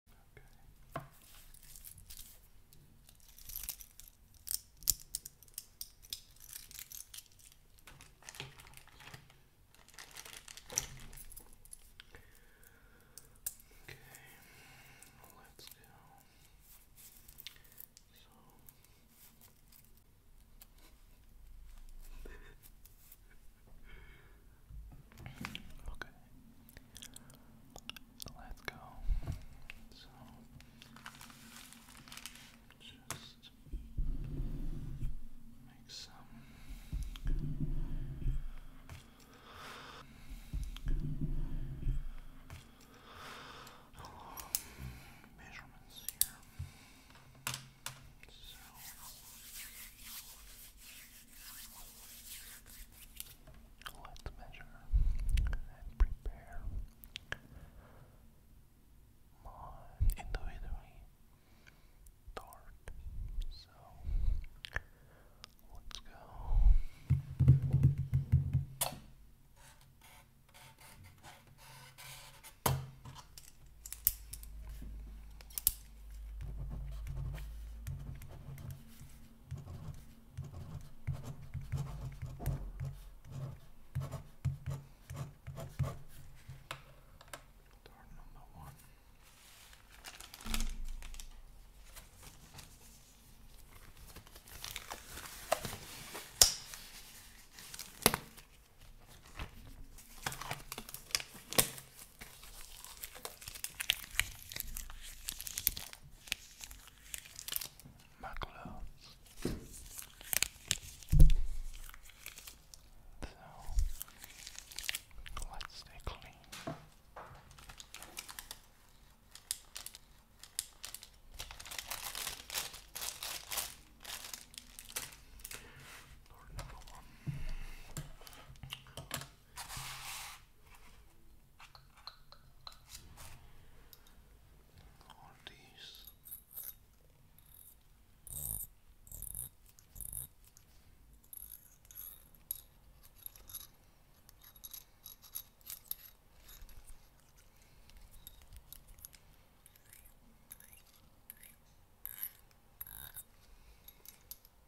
Okay. Okay, let's go. So Okay. Let's go. So just make some measurements here. So Let's measure and prepare my individually tart. So let's go. Door number one. Makula. So let's stay clean. Door number one all these.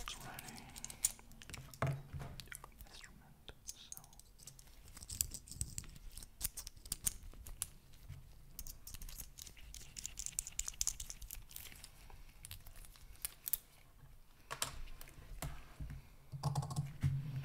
It's ready. Instrument, so. Let's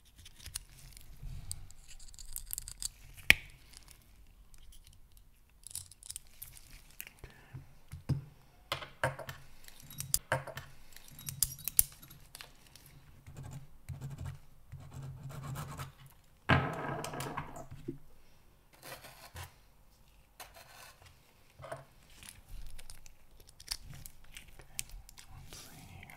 Okay, let's see here.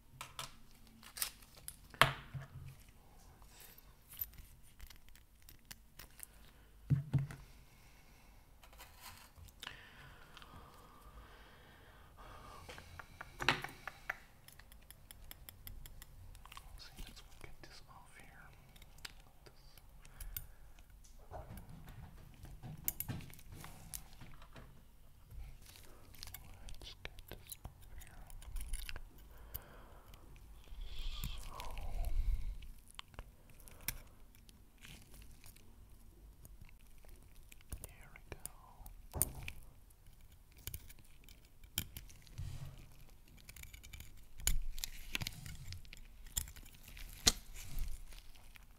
Let's see, let's get this off here. This. Let's get this over here. So here we go.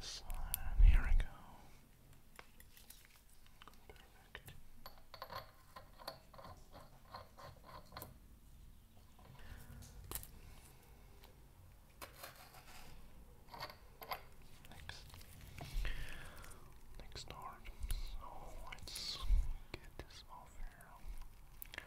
This line, here we go. Perfect. Next, next art. So let's get this off here.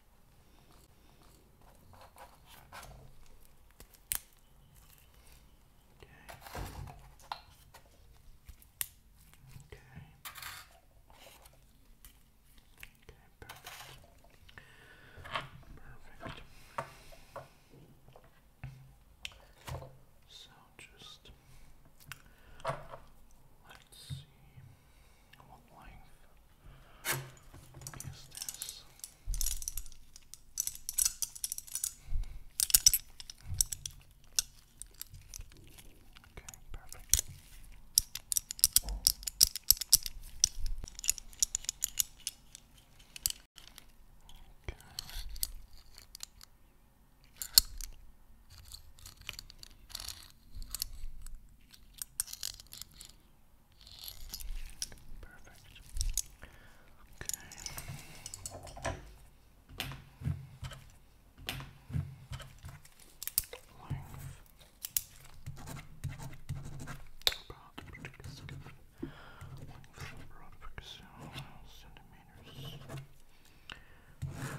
Okay. Okay. Okay, perfect. Perfect. So just let's see. What length is this? Okay, perfect. Okay. Perfect. Okay. Length. About length centimeters. Okay.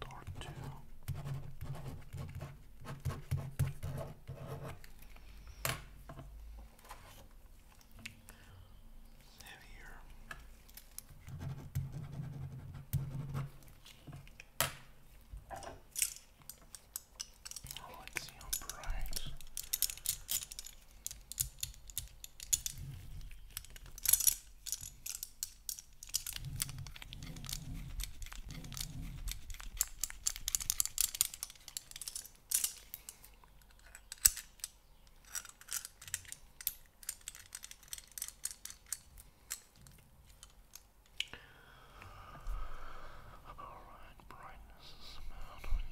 Door two. Heavier. Let's see how bright Alright, brightness is about 28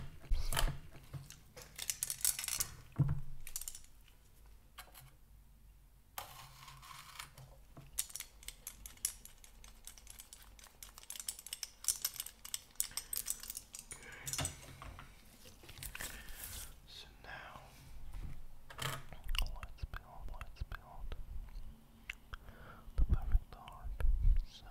millimeters. Okay. So now let's build, let's build the perfect art. So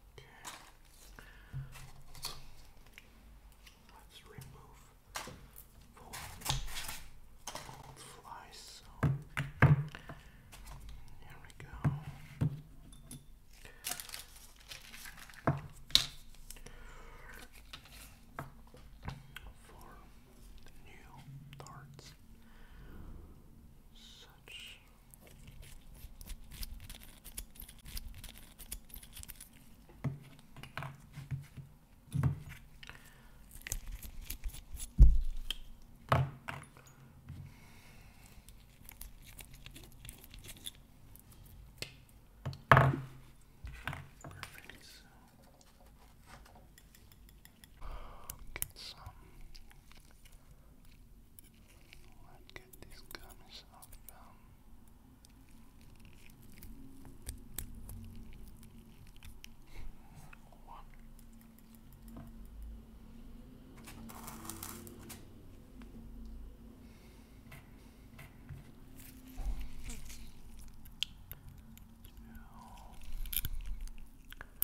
Okay. Let's remove four flies. So here we go. For new darts, such Perfect. Get some Where'd get these gummies off from? Um. Get them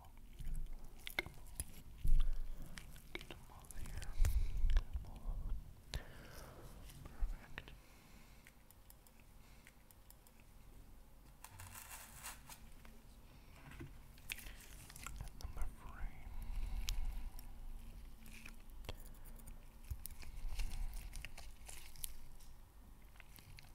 all there. Get them all. Perfect. And number three.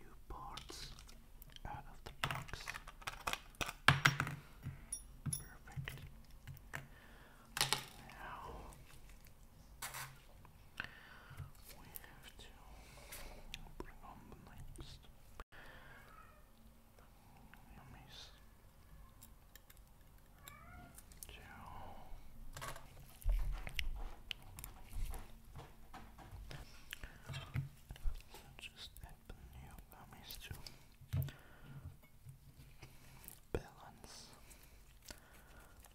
New parts out of the box. Perfect. Now we have to bring on the next yummies two. So just open your gummies balance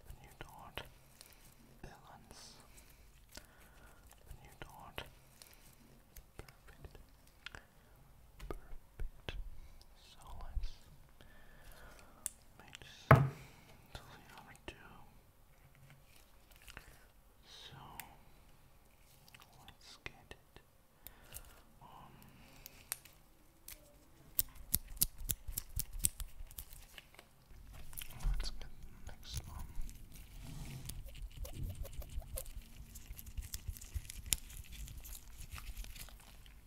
the new dot. Balance the new dot. Perfect. Perfect. So let's makes totally So let's get it Let's get next one.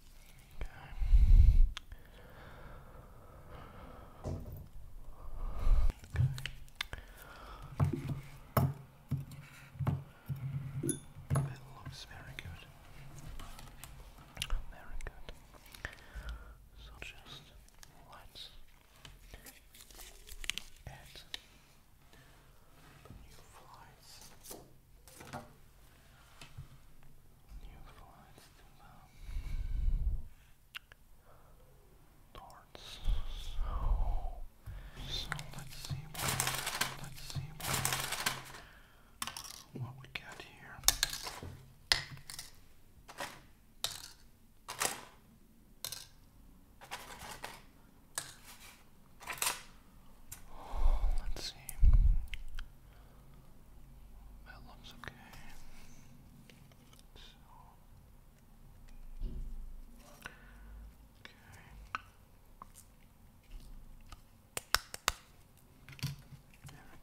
Okay. Okay. looks very good. Very good. So just let's add the new flies. New flights to the north. So, let's see what let's see what, what we got here. Let's see. That looks okay. So. Okay.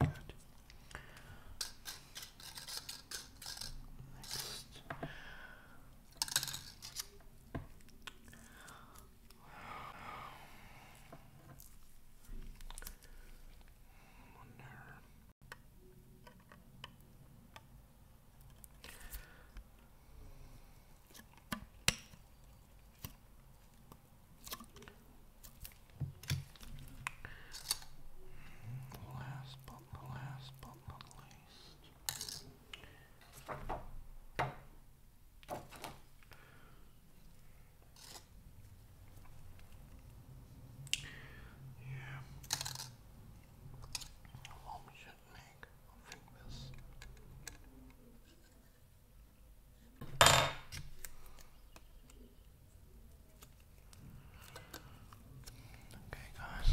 Very good. Next. Wonder. last but not least. Yeah. What we should make, I think this. Okay, guys.